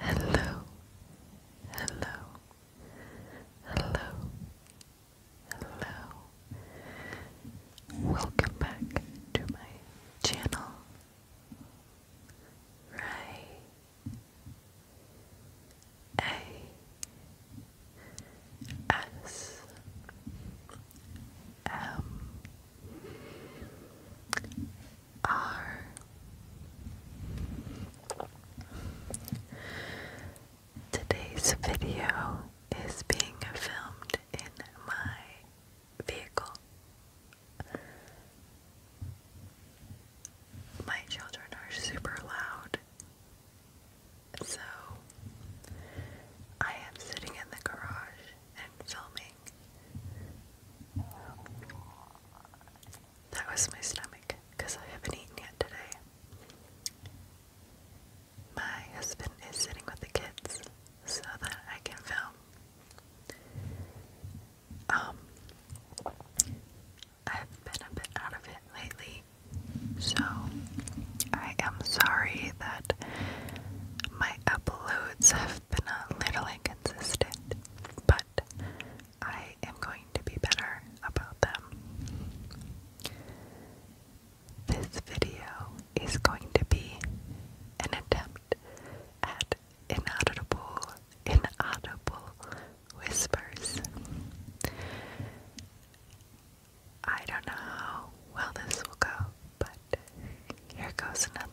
Hello, hello, hello, hello. Welcome back to my channel. Ray are Today's video is being filmed in my vehicle. My children are super loud, so I am sitting in the garage and filming. That was my stomach because I haven't eaten yet today. My husband is sitting with the kids so that I can film. Um, I've been a bit out of it lately, so I am sorry that my uploads have been a little consistent, but I am going to be better about them. This video is going to be an attempt at inaudible, inaudible whispers. I don't know how well this will go, but here goes nothing.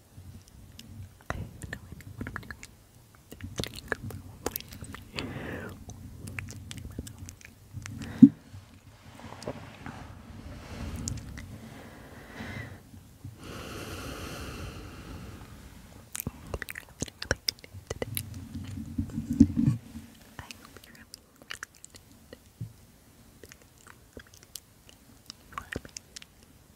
I have no idea what I'm doing. It could probably be I hope you're having a really good day today. I hope you're having a really good day. You are amazing.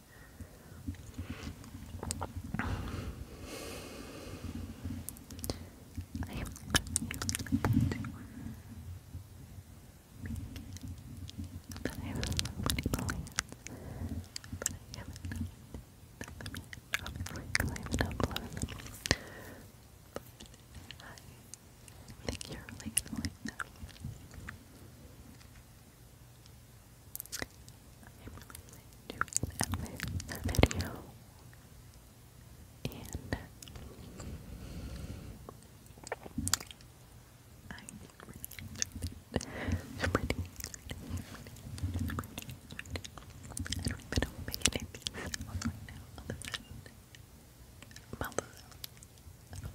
I I have so many plans, but I haven't done them I haven't uploaded them. But I think you're really going to like them. I'm really doing a video and I really enjoyed it. It's pretty, it's pretty, it's pretty. I don't even know what making it means right now other than mouth out. Um,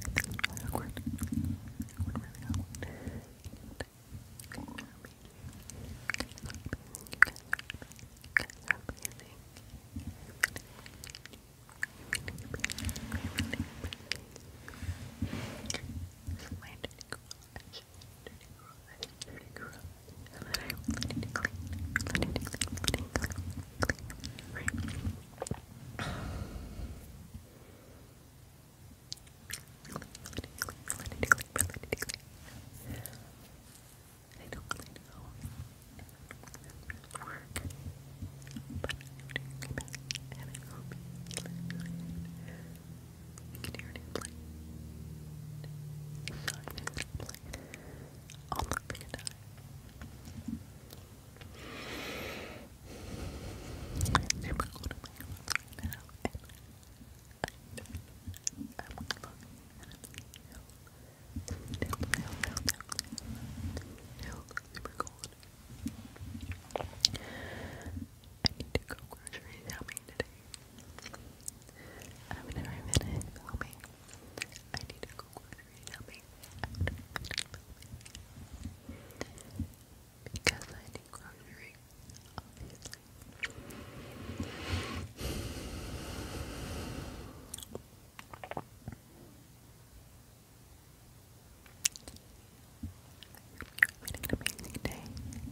Really awkward. Awkward, really awkward. You guys are amazing. You guys are amazing. You guys are amazing. This is my dirty girl dirty garage, dirty garage, and then I will let it clean, let it clean, let it clean, clean, right? Let it clean, let it clean, let it clean. I don't clean at all. It's work. But I do clean, and I hope you listen to it. You can hear it in play. Sorry, it's play. I'll look for your time. I'm super cool to my phones right now, and I, I'm looking and I'm saying, no, no, no, no, no, super cold. I need to go grocery shopping today. I've never finished I need to grocery shopping after Because I need grocery, obviously. I'm having an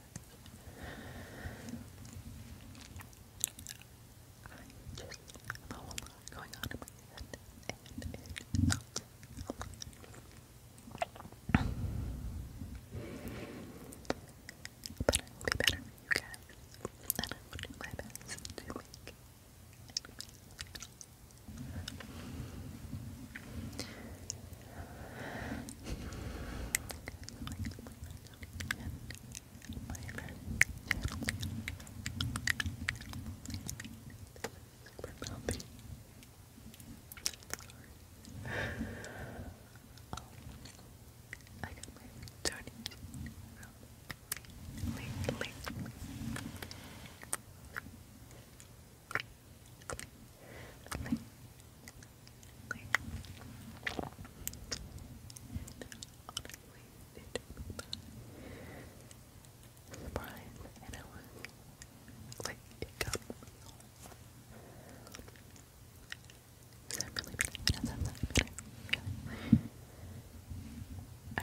I just have a going on in my head, But I will be better you guys, and I will do my best to make I got my donut late, late. Late, Okay. Surprise, and I was like, it got me. Is that really better? Is that really I don't know, that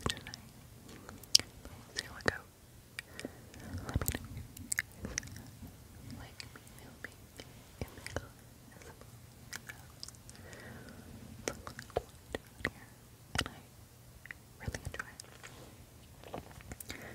for tonight. But see how it goes. Let me know if you guys like me filming in the car as well. So, that's what I want to do here, and I really enjoy it. Um, and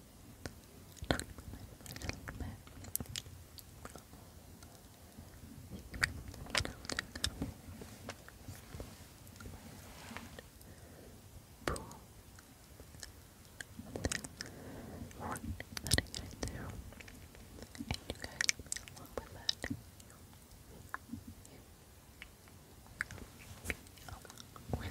a little bit, a little bit. Pull. One, let it get through. And you guys along with that. You, you, along with.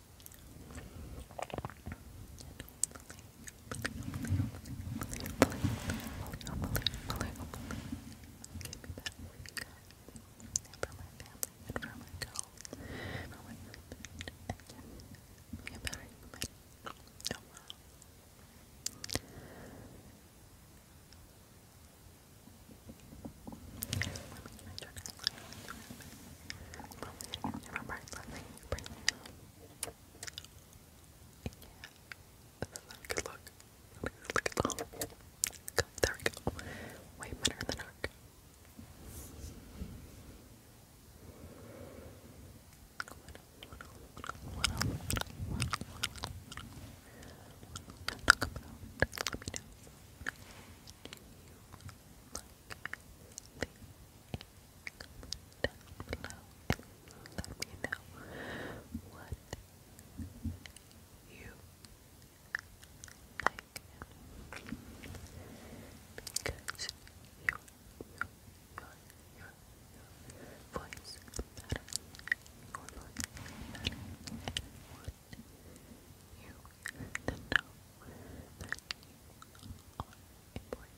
Remember, it's something you bring not a good look. look at all. there we go. Way better in the you Comment Let me know what you like because your, your, your, your, your voice matters. Your you know that you are important.